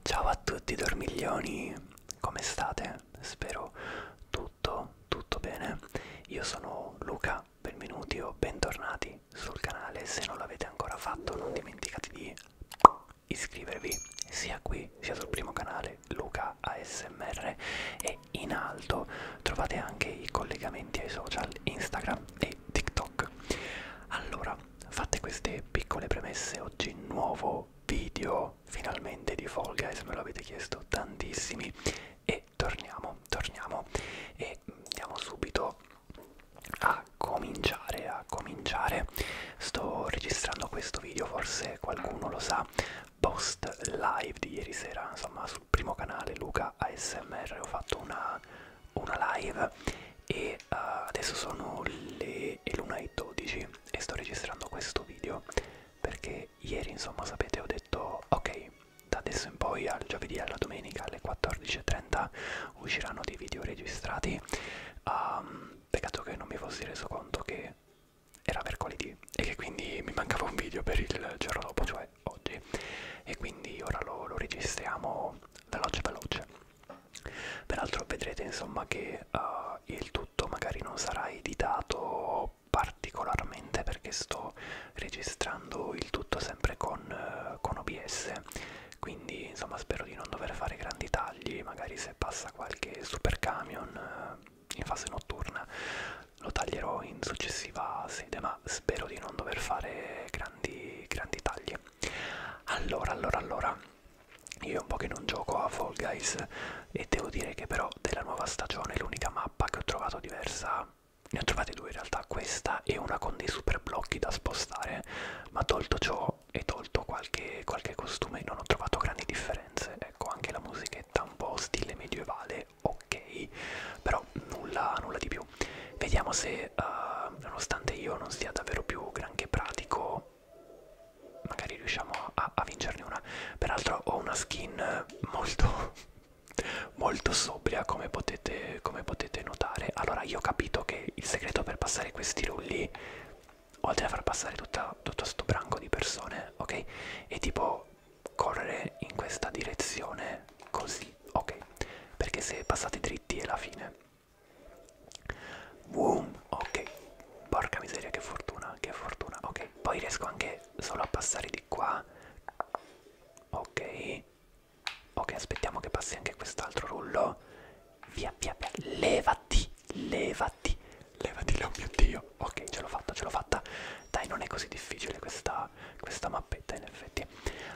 Ciao a tutti dormiglioni, come state? Spero tutto, tutto bene. Io sono Luca, benvenuti o bentornati sul canale. Se non l'avete ancora fatto non dimenticate di iscrivervi sia qui sia sul primo canale Luca ASMR e in alto trovate anche i collegamenti ai social Instagram e TikTok. Allora, fatte queste piccole premesse, oggi nuovo video finalmente di Fall Guys, me lo avete chiesto tantissimi e torniamo, torniamo e andiamo subito a cominciare, a cominciare. Sto registrando questo video, forse qualcuno lo sa, post live di ieri sera, insomma sul primo canale Luca ASMR ho fatto una una live e uh, adesso sono le 1.12 e sto registrando questo video perché ieri insomma sapete ho detto ok da adesso in poi al giovedì e alla domenica alle 14.30 usciranno dei video registrati um, peccato che non mi fossi reso conto che era mercoledì e che quindi mi mancava un video per il giorno dopo, cioè oggi. E quindi ora lo, lo registriamo veloce veloce. Peraltro vedrete insomma che uh, il tutto magari non sarà editato particolarmente perché sto registrando il tutto sempre con, uh, con OBS, quindi insomma spero di non dover fare grandi tagli, magari se passa qualche super camion uh, eh, in fase notturna lo taglierò in successiva sede, ma spero di non dover fare grandi, grandi tagli. Allora, allora, allora, io un po' che non gioco a Fall Guys e devo dire che però della nuova stagione l'unica mappa che ho trovato diversa, ne ho trovate due in realtà, questa e una con dei super blocchi da spostare, ma tolto ciò e tolto qualche, qualche costume non ho trovato grandi differenze, ecco anche la musichetta un po' stile medievale, ok, però nulla, nulla di più. Vediamo se, uh, nonostante io non sia davvero più granché pratico, però magari riusciamo a, a vincerne una. Peraltro ho una skin molto, molto sobria come potete, come potete notare. Allora io ho capito che il segreto per passare questi rulli, oltre a far passare tutta, tutto sto branco di persone, ok? È tipo correre in questa direzione così, ok? Perché se passate dritti è la fine. Boom, ok. Porca miseria, che fortuna, che fortuna. Ok, poi riesco anche solo a passare di qua. Ok. Ok, aspettiamo che passi anche quest'altro rullo. Via, via, via. Levati, levati, levati, oh mio Dio. Ok, ce l'ho fatta, ce l'ho fatta. Dai, non è così difficile questa, questa mappetta, in effetti.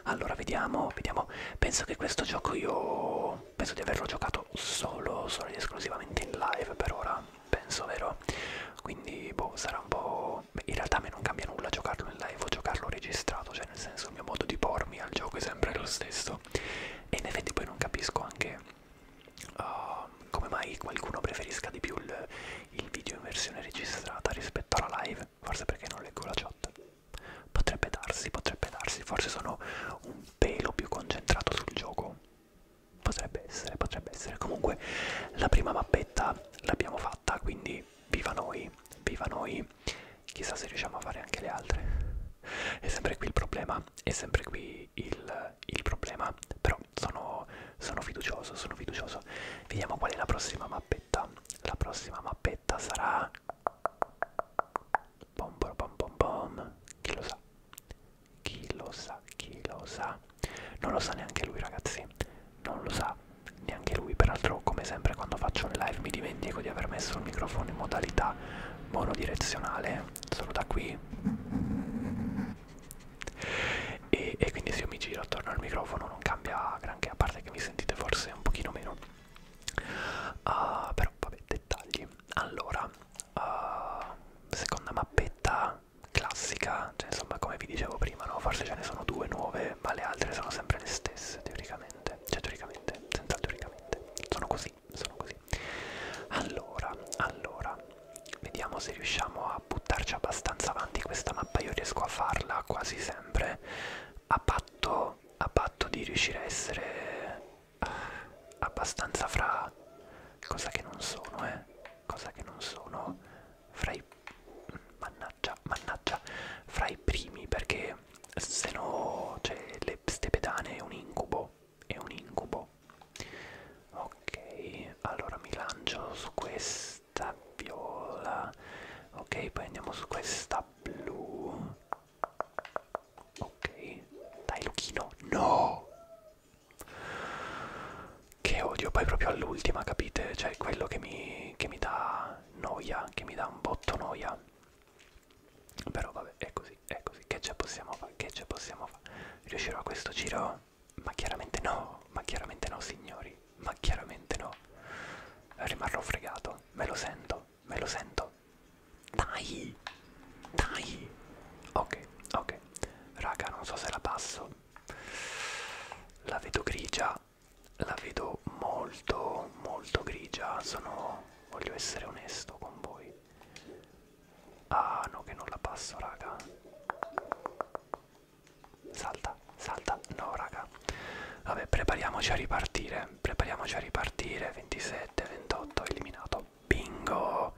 Allora, vediamo, vediamo. Penso che questo gioco io penso di averlo giocato solo, solo ed esclusivamente in live per ora, penso vero? Quindi boh, sarà un po'... in realtà a me non cambia nulla giocarlo in live o giocarlo registrato, cioè nel senso il mio modo di pormi al gioco è sempre lo stesso. E in effetti poi non capisco anche uh, come mai qualcuno preferisca di più il, il video in versione registrata rispetto alla live, forse perché non leggo la chat. Potrebbe darsi, potrebbe darsi, forse sono un pelo più concentrato sul gioco. Potrebbe essere, potrebbe essere. Comunque la prima mappetta l'abbiamo fatta, quindi viva noi, viva noi. Chissà se riusciamo a fare anche le altre. È sempre qui il problema, è sempre qui il, il problema, però sono, sono fiducioso, sono fiducioso. Vediamo qual è la prossima mappetta. La prossima mappetta sarà Bom bom bom bom. Chi lo sa? Chi lo sa? Chi lo sa? Non lo sa neanche lui, ragazzi. Non lo sa neanche lui. Peraltro, come sempre, quando faccio le live mi dimentico di aver messo il microfono in modalità monodirezionale. Solo da qui. E, e quindi se io mi giro attorno al microfono non cambia granché, a parte che mi sentite forse un pochino meno uh, però vabbè dettagli allora uh, seconda mappetta classica cioè insomma come vi dicevo prima no? forse ce ne sono due nuove ma le altre sono sempre le stesse teoricamente cioè teoricamente senza teoricamente sono così sono così allora allora vediamo se riusciamo a buttarci abbastanza avanti questa mappa io riesco a farla quasi sempre a patto a patto di riuscire a essere abbastanza fra cosa che non sono eh cosa che non sono fra i mannaggia mannaggia fra i primi perché se no cioè le stepedane è un incubo è un incubo ok allora mi lancio su questa viola ok poi andiamo su questa blu Ok, dai Luchino, no! Che odio, poi proprio all'ultima, capite? Cioè, quello che mi, che mi dà noia, che mi dà un botto noia. Però vabbè, è così, è così, che ce possiamo fare, che ce possiamo fare? Riuscirò a questo giro? Ma chiaramente no, ma chiaramente no signori, ma chiaramente no. Rimarrò fregato, me lo sento, me lo sento. Dai, dai. Ok, ok. Raga, non so se la passo. La vedo grigia. La vedo molto, molto grigia. Sono, voglio essere onesto con voi. Ah, no, che non la passo, raga. Salta, salta. No, raga. Vabbè, prepariamoci a ripartire. Vabbè, prepariamoci a ripartire. 27, 28, eliminato. Bingo!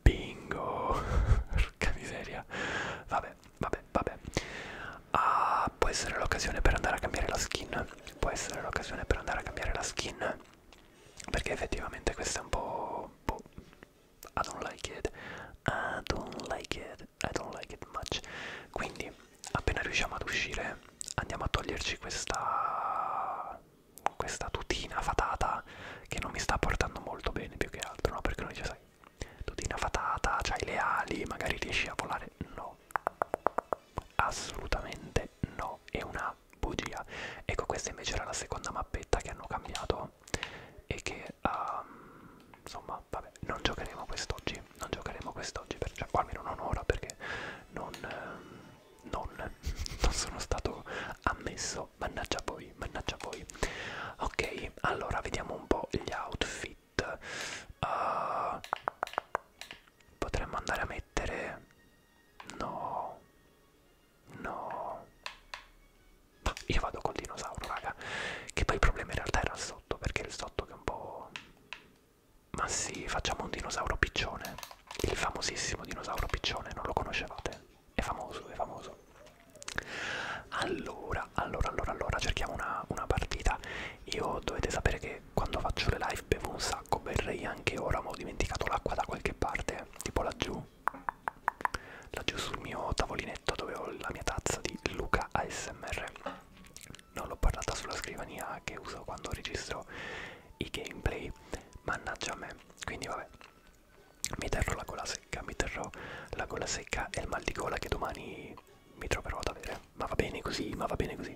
Bingo! Porca miseria. Vabbè, vabbè, vabbè. Ah, può essere l'occasione per andare a cambiare la skin. Può essere l'occasione per andare a cambiare la skin. Perché effettivamente questa è un po'... Boh. I don't like it. I don't like it. I don't like it much. Quindi appena riusciamo ad uscire andiamo a toglierci questa questa tutina fatata che non mi sta portando molto bene più che altro no perché noi ci sai tutina fatata c'hai le ali magari riesci a volare no assolutamente no è una bugia ecco questa invece era la seconda mappetta che hanno cambiato e che um, insomma vabbè non giocheremo quest'oggi non giocheremo quest'oggi cioè, o almeno non ora perché non um, non, non sono stato ammesso, mannaggia voi, mannaggia voi. Ok, allora vediamo un po' gli outfit. Uh, potremmo andare a mettere... No, no. Ma io vado col dinosauro, raga. Che poi il problema in realtà era il sotto, perché il sotto che è un po'... Ma sì, facciamo un dinosauro piccione. Il famosissimo dinosauro piccione, non lo conoscevate? È famoso, è famoso. Allora, allora, allora, allora, cerchiamo una, una partita. Io dovete sapere che quando faccio le live bevo un sacco, berrei anche ora, ma ho dimenticato l'acqua da qualche parte, tipo laggiù. Laggiù sul mio tavolinetto dove ho la mia tazza di Luca ASMR non l'ho parlata sulla scrivania che uso quando registro i gameplay mannaggia a me quindi vabbè mi terrò la gola secca mi terrò la gola secca e il mal di gola che domani mi troverò ad avere ma va bene così ma va bene così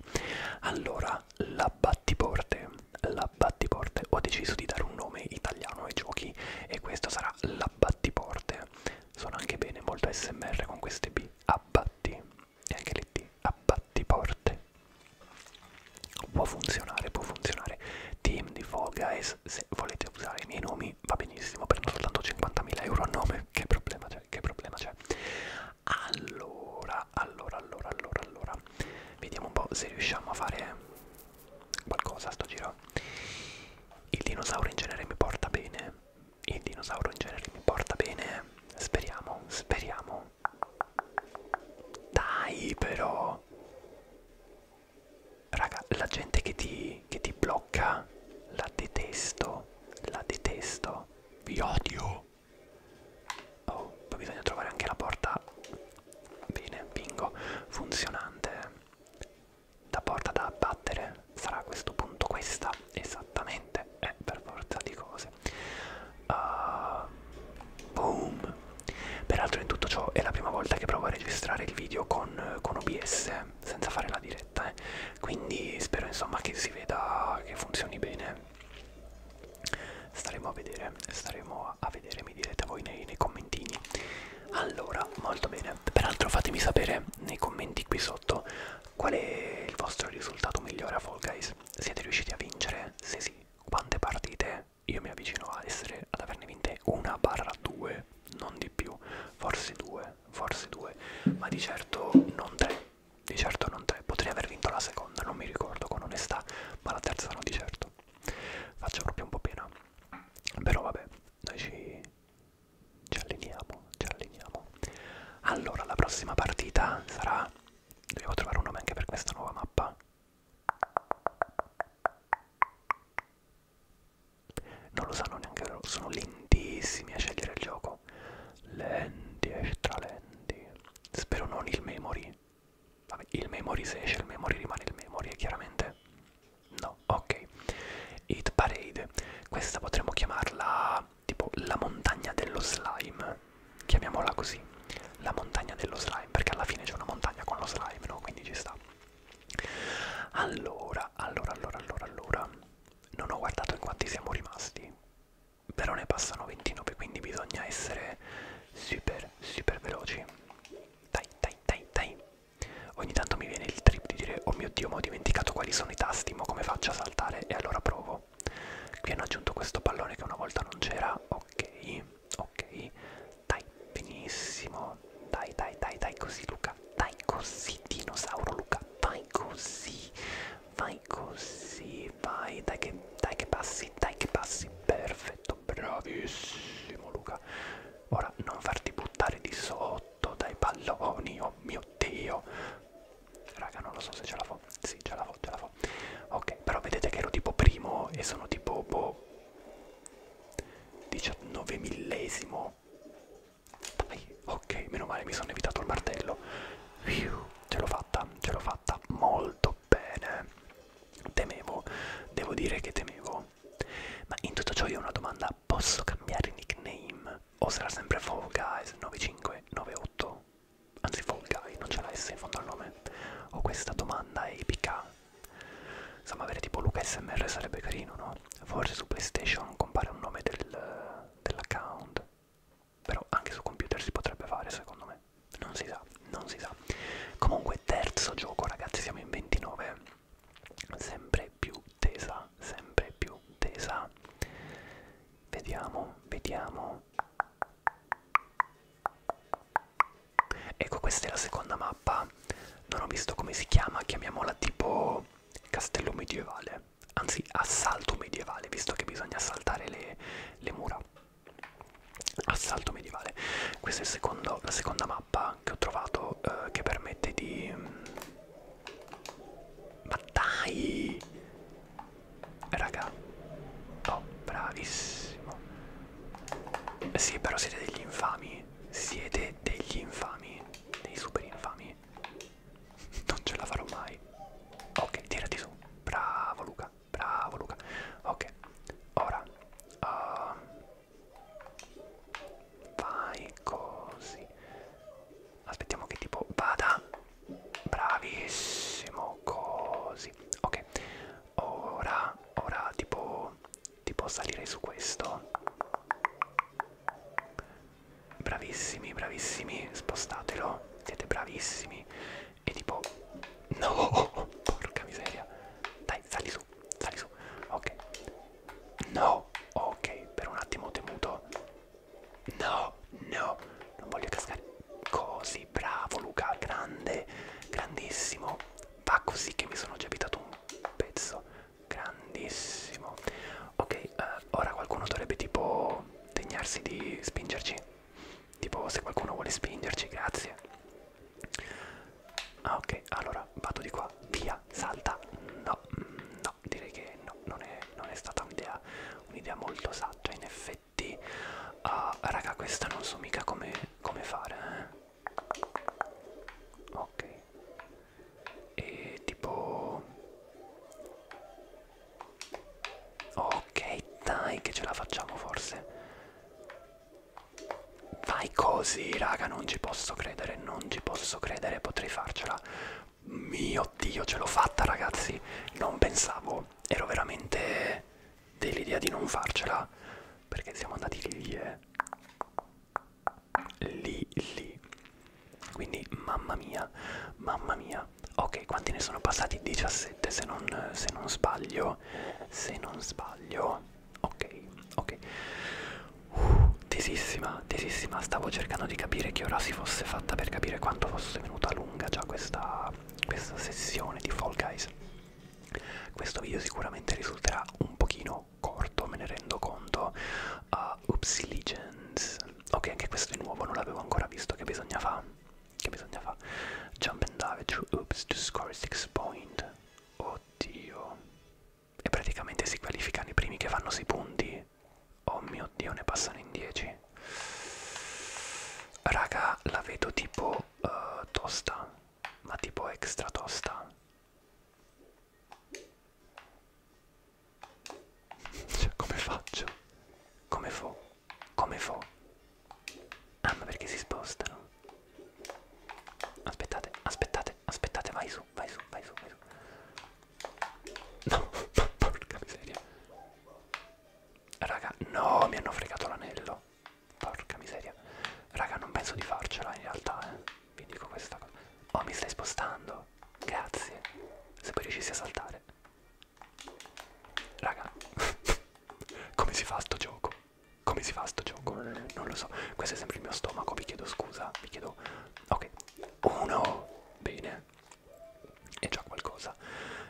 allora la battiporte la battiporte ho deciso di dare un nome italiano ai giochi e questo sarà la battiporte suona anche bene molto smr con queste b abbatti e anche lì ti abbattiporte può funzionare può funzionare team di Fall Guys se volete usare i miei nomi va benissimo prendo soltanto 50.000 euro a nome che problema c'è che problema c'è allora allora allora allora allora vediamo un po' se riusciamo a fare qualcosa a sto giro il dinosauro in genere mi porta bene il dinosauro in genere mi porta bene speriamo speriamo dai però! Raga, la gente che ti, che ti blocca la detesto, la detesto, vi odio. Oh, poi bisogna trovare anche la porta, bene, bingo, funzionante. La porta da abbattere sarà a questo punto questa, esattamente eh, eh, per forza di cose. Uh, boom! Peraltro in tutto ciò è la prima volta che provo a registrare il video con, con OBS, senza fare la diretta, eh. quindi spero insomma che si veda che funzioni bene. Staremo a vedere, staremo a vedere, mi direte voi nei, nei commentini. Allora, molto bene. Peraltro fatemi sapere nei commenti qui sotto qual è il vostro risultato migliore a Fall Guys. Games siete riusciti a vincere? Se sì, quante partite? Io mi avvicino a essere, ad averne vinte una barra due, non di più, forse due, forse due, ma di certo non tre, di certo non tre, potrei aver vinto la seconda, non mi ricordo con onestà, ma la terza no di certo. Faccio proprio un po' pena, però vabbè, noi ci, ci alleniamo, ci alleniamo. Allora, la prossima partita sarà Dobbiamo trovare un nome anche per questa nuova mappa. Non lo sanno neanche loro, sono lentissimi a scegliere il gioco. Lenti e eh, stralenti. Spero non il memory. Vabbè, il memory se esce il memory rimane il memory, eh, chiaramente. No, ok. Hit parade. Questa potremmo chiamarla tipo la montagna dello slime, chiamiamola così, la montagna dello slime, perché alla fine c'è una montagna con lo slime, no? Quindi ci sta. Allora, allora, allora, allora, allora, non ho guardato in quanti siamo rimasti, però ne passano 29, quindi bisogna essere super, super veloci. Dai, dai, dai, dai. Ogni tanto mi viene il trip di dire, oh mio Dio, ma ho dimenticato quali sono i tasti, ma come faccio a saltare? E allora provo gioco qui hanno aggiunto questo pallone che una volta non c'era ok ok dai benissimo dai dai dai dai così Luca dai così dinosauro Luca vai così vai così vai dai che, dai che passi dai che passi perfetto bravissimo Luca ora non farti buttare di sotto dai palloni oh mio dio Raga, non lo so se ce la fo. Sì, ce la fo, ce la fo. Ok, però vedete che ero tipo primo e sono tipo boh. 19 millesimo. Dai, ok, meno male, mi sono evitato il martello. Fiu, ce l'ho fatta, ce l'ho fatta molto bene. Temevo, devo dire che temevo. Ma in tutto ciò io ho una domanda, posso cambiare nickname? O sarà sempre Fall Guys 9598? anzi Fall Guy, non c'è la S in fondo al nome, ho questa domanda epica. Insomma, avere tipo Luca SMR sarebbe carino, no? Forse su PlayStation compare un nome del, dell'account, però anche su computer si potrebbe fare secondo me, non si sa, non si sa. Comunque terzo gioco ragazzi, siamo in 29, sempre più tesa, sempre più tesa. Vediamo, vediamo. Ecco, questa è la seconda mappa. Non ho visto come si chiama, chiamiamola tipo castello medievale. Anzi, assalto medievale, visto che bisogna assaltare le, le mura. Assalto medievale. Questa è secondo, la seconda mappa che ho trovato eh, che permette di... Ma dai! Raga. Oh, bravissimo. Sì, però siete degli infami. Siete degli infami. Dei super infami. Non ce la farò mai. Ok, tirati su. Bravo Luca. Bravo Luca. Ok. Ora. Uh, vai così. Aspettiamo che tipo vada Bravissimo, così. Ok, ora, ora tipo, tipo salire su questo. Bravissimi, bravissimi, spostatelo. Siete bravissimi. E tipo, no, porca miseria. Dai, sali su, sali su. Ok, no, ok, per un attimo ho temuto. No, no non voglio cascare. Così, bravo Luca, grande, grandissimo. Va così che mi sono già abitato un pezzo. Grandissimo. Ok, eh, ora qualcuno dovrebbe tipo degnarsi di spingerci. Tipo se qualcuno vuole spingerci, grazie. Ah ok, allora vado di qua. Via, salta. No, mm, no, direi che no, non è, non è stata un'idea un molto saggia in effetti effetti uh, ah, raga questa non so mica come, come fare eh. ok e tipo ok dai che ce la facciamo forse vai così raga non ci posso credere non ci posso credere potrei farcela mio dio ce l'ho fatta ragazzi non pensavo ero veramente dell'idea di non farcela perché siamo andati lì e eh. lì lì quindi mamma mia mamma mia ok quanti ne sono passati 17 se non, se non sbaglio se non sbaglio ok ok uh, tesissima tesissima stavo cercando di capire che ora si fosse fatta per capire quanto fosse venuta lunga già questa questa sessione di Fall Guys. Questo video sicuramente risulterà un pochino corto, me ne rendo conto. Uh, Upsi Legends. Ok, anche questo è nuovo, non l'avevo ancora visto. Che bisogna fare? Che bisogna fare? Jump and dive through oops to score 6 point. Oddio. E praticamente si qualificano i primi che fanno 6 punti. Oh mio dio, ne passano in 10 raga la vedo tipo uh, tosta ma tipo extra tosta cioè come faccio come fo come fo ah ma perché si spostano aspettate aspettate aspettate vai su vai su vai su vai su no porca miseria Raga, no, mi hanno fregato l'anello. Porca miseria. Raga, non penso di farcela in realtà, eh. Vi dico questa cosa. Oh, mi stai spostando. Grazie. Se poi riuscissi a saltare. Raga. Come si fa sto gioco? Come si fa sto gioco? Non lo so. Questo è sempre il mio stomaco, vi chiedo scusa. Vi chiedo... Ok. Uno. Bene è già qualcosa.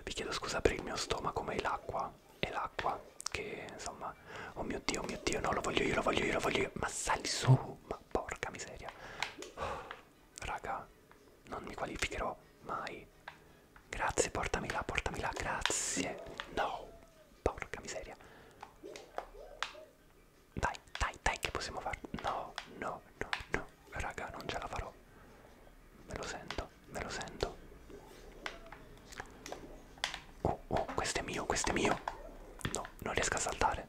Vi chiedo scusa per il mio stomaco, ma è l'acqua. È l'acqua che insomma. Oh mio dio, oh mio dio, no, lo voglio io, lo voglio io, lo voglio io. Ma sali su, ma porca miseria. Oh, raga, non mi qualificherò mai. Grazie, portami là, portami là, grazie. No, porca miseria. Dai, dai, dai, che possiamo fare? No, no, no, no raga non ce la farò me lo sento me lo sento oh oh questo è mio questo è mio no non riesco a saltare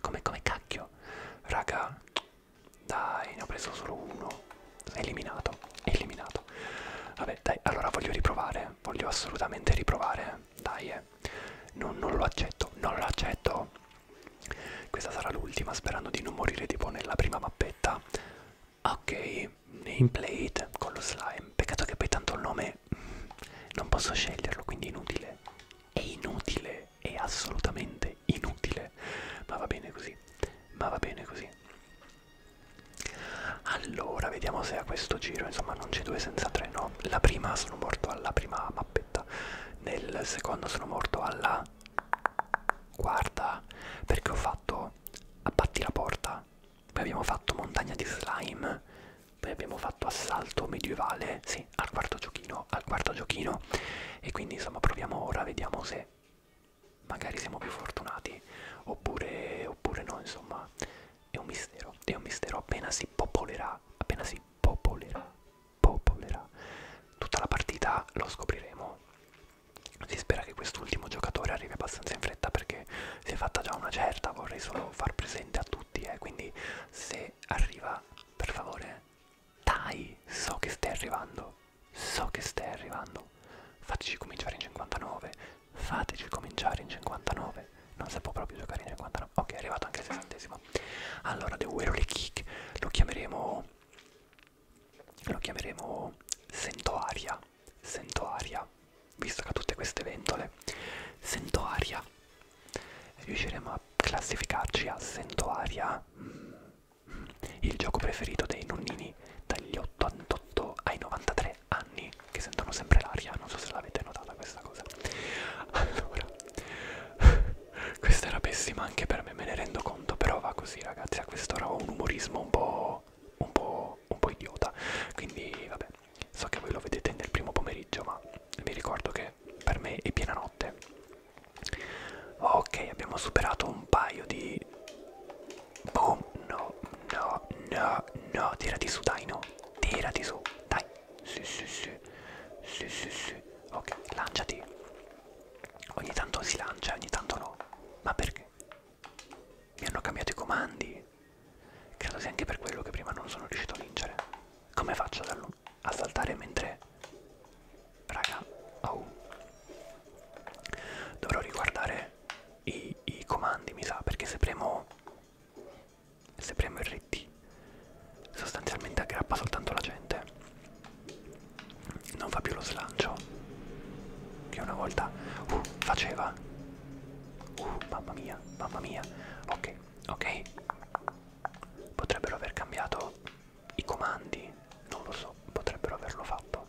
come come cacchio raga dai ne ho preso solo uno eliminato eliminato vabbè dai allora voglio riprovare voglio assolutamente riprovare dai eh non, non lo accetto non lo accetto questa sarà l'ultima sperando di non morire tipo nella prima mappetta Ok, nameplate con lo slime. Peccato che poi tanto il nome non posso sceglierlo, quindi inutile. È inutile, è assolutamente inutile. Ma va bene così, ma va bene così. Allora, vediamo se a questo giro, insomma, non c'è due senza tre, no? La prima sono morto alla prima mappetta, nel secondo sono morto alla quarta, perché ho fatto no? Abbatti la porta. Poi abbiamo fatto montagna di slime. Poi abbiamo fatto assalto medievale. Sì, al quarto giochino, al quarto giochino. E quindi insomma proviamo ora, vediamo se magari siamo più fortunati. Oppure, oppure no, insomma. È un mistero. È un mistero appena si popolerà. Appena si popolerà. Popolerà. Tutta la partita lo scopriremo. Si spera che quest'ultimo giocatore arrivi abbastanza in fretta perché si è fatta già una certa, vorrei solo far presente a tutti, eh, quindi se arriva, per favore, dai, so che stai arrivando, so che stai arrivando, fateci cominciare in 59, fateci cominciare in 59, non si può proprio giocare in 59, ok è arrivato anche il sessantesimo, allora The Werole Kick lo chiameremo lo chiameremo sentoaria sentoaria visto che ha tutte queste ventole sentoaria riusciremo a classificarci a sentoaria mm. il gioco preferito dei nonnini dagli 88 ai 93 anni che sentono sempre l'aria non so se l'avete notata questa cosa allora questa era pessima anche per meme, me ne rendo conto, però va così ragazzi, a quest'ora ho un umorismo un po', un po', un po' idiota, quindi vabbè, so che voi lo vedete nel primo pomeriggio, ma vi ricordo che per me è piena notte. Ok, abbiamo superato un paio di... Boom, no, no, no, no, tirati su dai, no, tirati su, dai, sì, sì, sì, sì, sì, sì, ok, lanciati. Ogni tanto si lancia, ogni tanto no. Ma perché? Mi hanno cambiato i comandi. Credo sia anche per quello che prima non sono riuscito a vincere. Come faccio a saltare mentre... Raga, oh. Dovrò riguardare i, i comandi, mi sa, perché se premo... Se premo RT sostanzialmente aggrappa soltanto la gente non fa più lo slancio che una volta uh, faceva uh, mamma mia mamma mia ok ok potrebbero aver cambiato i comandi non lo so potrebbero averlo fatto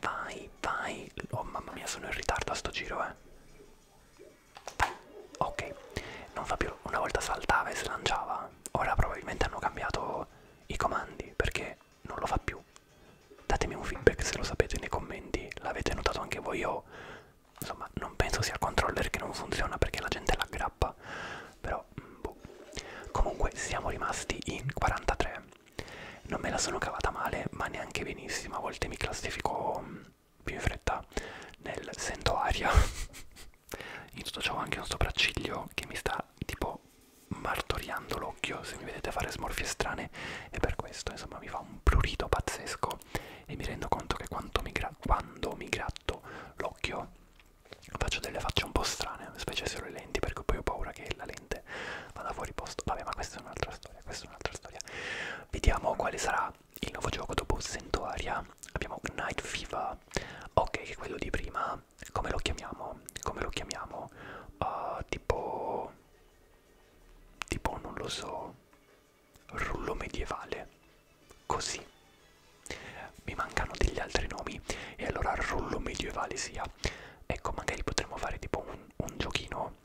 vai vai oh mamma mia sono in ritardo a sto giro eh ok non fa più una volta saltava e slanciava ora probabilmente hanno cambiato i comandi perché non lo fa più. Datemi un feedback se lo sapete nei commenti, l'avete notato anche voi o insomma non penso sia il controller che non funziona perché la gente l'aggrappa, però mm, boh. Comunque siamo rimasti in 43. Non me la sono cavata male, ma neanche benissimo, a volte mi classifico mm, più in fretta nel sento aria In tutto ciò ho anche un sopracciglio che mi sta tipo martoriando l'occhio, se mi vedete fare smorfie strane e per questo insomma mi fa un prurito pazzesco e mi rendo conto che quando mi, gra quando mi gratto l'occhio faccio delle facce un po' strane, specie se ho le lenti perché poi ho paura che la lente vada fuori posto. Vabbè ma questa è un'altra storia, questa è un'altra storia. Vediamo quale sarà il nuovo gioco dopo Sentoria. Abbiamo Night Fever, ok che è quello di prima come lo chiamiamo? Come lo chiamiamo? Uh, tipo, tipo, non lo so, rullo medievale, così. Mi mancano degli altri nomi e allora rullo medievale sia. Ecco, magari potremmo fare tipo un, un giochino.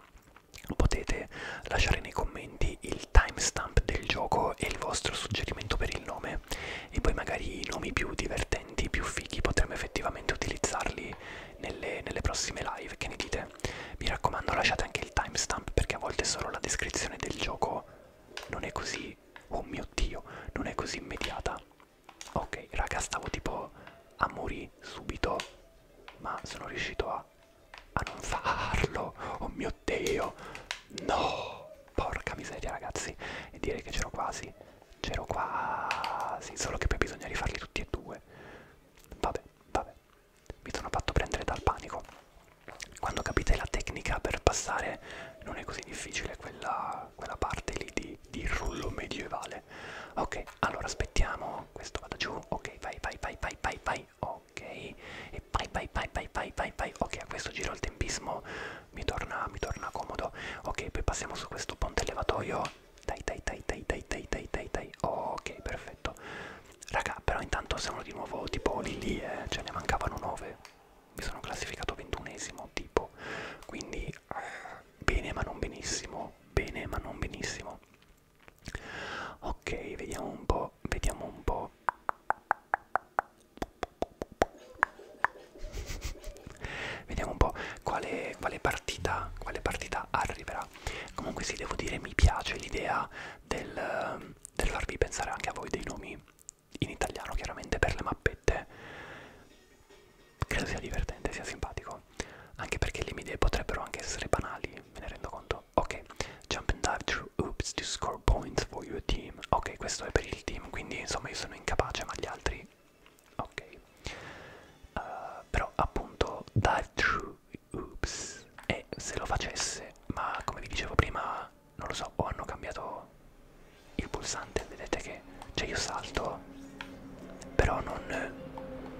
Potete lasciare nei commenti il timestamp del gioco e il vostro suggerimento per il nome e poi magari i nomi più divertenti, più fighi potremmo effettivamente utilizzarli nelle, nelle prossime live, che ne dite? Mi raccomando lasciate anche il timestamp perché a volte solo la descrizione del gioco non è così, oh mio dio, non è così immediata. Ok, raga, stavo tipo a morire subito, ma sono riuscito a, a non farlo. Oh mio dio, no! Porca miseria ragazzi, e direi che c'ero quasi, c'ero quasi, solo che poi bisogna rifarli tutti e due. Vabbè, vabbè, mi sono fatto prendere dal panico. Quando capite la tecnica per passare non è così difficile quella, quella parte lì di, di rullo medievale. Ok, allora aspettiamo, questo vada giù, ok, vai, vai, vai, vai, vai, vai, ok, e vai, vai, vai, vai, vai, vai, vai, ok, a questo giro il tempismo mi torna, mi torna comodo. Ok, poi passiamo su questo ponte levatoio. Dai, dai, dai, dai, dai, dai, dai, dai, dai. Ok, perfetto. Raga, però intanto siamo di nuovo tipo lì lì, eh. Ce cioè, ne mancavano 9. Mi sono classificato 21esimo, tipo. Quindi, bene ma non benissimo. Bene ma non benissimo. Ok, vediamo un po', vediamo un po'. Vediamo un po' quale, quale, partita, quale partita arriverà. Comunque sì, devo dire, mi piace l'idea del, del farvi pensare anche a voi dei nomi in italiano, chiaramente per le mappette. Credo sia divertente, sia simpatico. Anche perché le mie idee potrebbero anche essere banali, me ne rendo conto. Ok, jump and dive through oops to score points for your team. Ok, questo è per il team, quindi insomma io sono incapace, ma gli altri ok uh, però appunto dal true oops e se lo facesse ma come vi dicevo prima non lo so o hanno cambiato il pulsante vedete che cioè io salto però non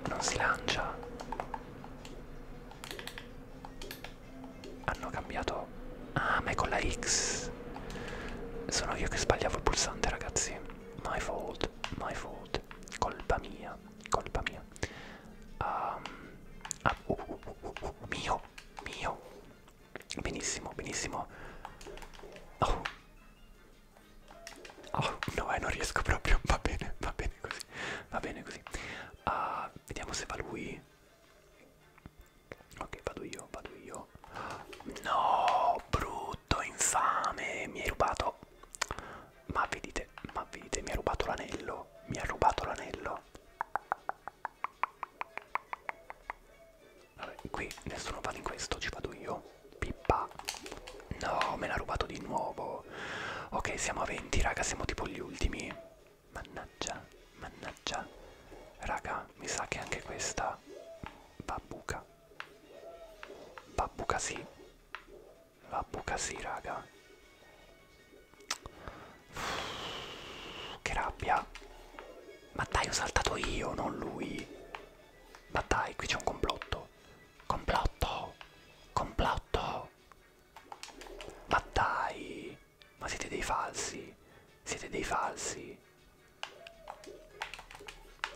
non si lancia hanno cambiato Ah, ma è con la X. Sono io che sbagliavo il pulsante, ragazzi. My fault, my fault. Colpa mia, colpa mia. Um, ah, uh, uh, uh, uh, mio, mio. Benissimo, benissimo. Oh. Oh, no, eh, non riesco proprio. Va bene, va bene così. Va bene così. Uh, vediamo se va lui. Ok, vado io, vado io. No, brutto, infame, mi hai rubato. Ma vedete, ma vedete, mi ha rubato l'anello. Mi ha rubato l'anello. Vabbè, qui nessuno va in questo, ci vado io. Pippa. No, me l'ha rubato di nuovo. Ok, siamo a 20, raga, siamo tipo gli ultimi. Mannaggia, mannaggia. Raga, mi sa che anche questa Babbuca. Babbuca sì. Babbuca sì, raga. Uff, che rabbia. Ma dai, ho saltato io, non lui. Ma dai, qui c'è un complotto. Complotto. Complotto. Ma dai. Ma siete dei falsi. Siete dei falsi.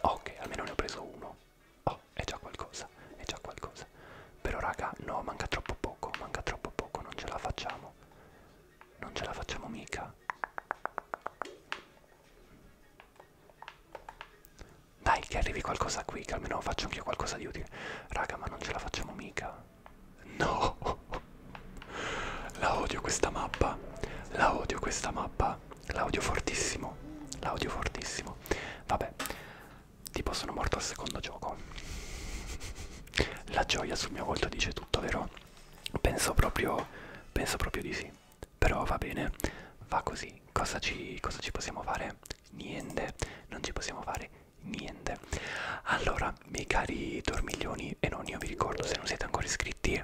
Ok, almeno ne ho preso uno. Oh, è già qualcosa, è già qualcosa. Però raga, no, manca troppo poco, manca troppo poco, non ce la facciamo. Non ce la facciamo mica. Dai, che arrivi qualcosa qui, che almeno faccio anch'io qualcosa di utile. Raga, ma non ce la facciamo mica. No! La odio questa mappa, la odio questa mappa, la odio fortissimo, la odio fortissimo. Vabbè, tipo sono morto al secondo gioco. La gioia sul mio volto dice tutto, vero? Penso proprio, penso proprio di sì. Però va bene, va così. Cosa ci, cosa ci possiamo fare? Niente, non ci possiamo fare niente. Allora, miei cari dormiglioni, e non io vi ricordo, se non siete ancora iscritti,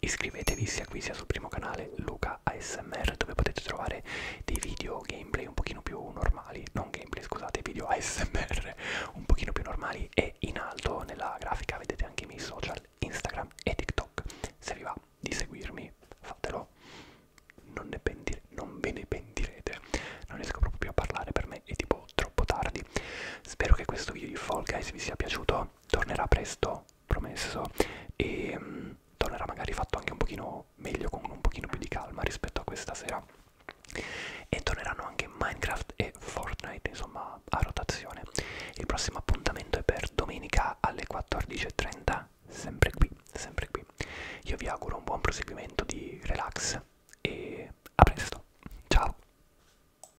iscrivetevi sia qui sia sul primo canale Luca ASMR dove potete trovare dei video gameplay un pochino più normali, non gameplay scusate, video ASMR un pochino più normali e in alto nella grafica vedete anche i miei social Instagram e TikTok. Se vi va di seguirmi fatelo, non, ne pentir non ve ne pentirete, non riesco proprio più a parlare per me è tipo troppo tardi. Spero che questo video di Fall Guys vi sia piaciuto tornerà presto, promesso, e mh, mm, tornerà magari fatto anche un pochino meglio, con un pochino più di calma rispetto a questa sera. E torneranno anche Minecraft e Fortnite, insomma, a rotazione. Il prossimo appuntamento è per domenica alle 14.30, sempre qui, sempre qui. Io vi auguro un buon proseguimento di relax e a presto. Ciao!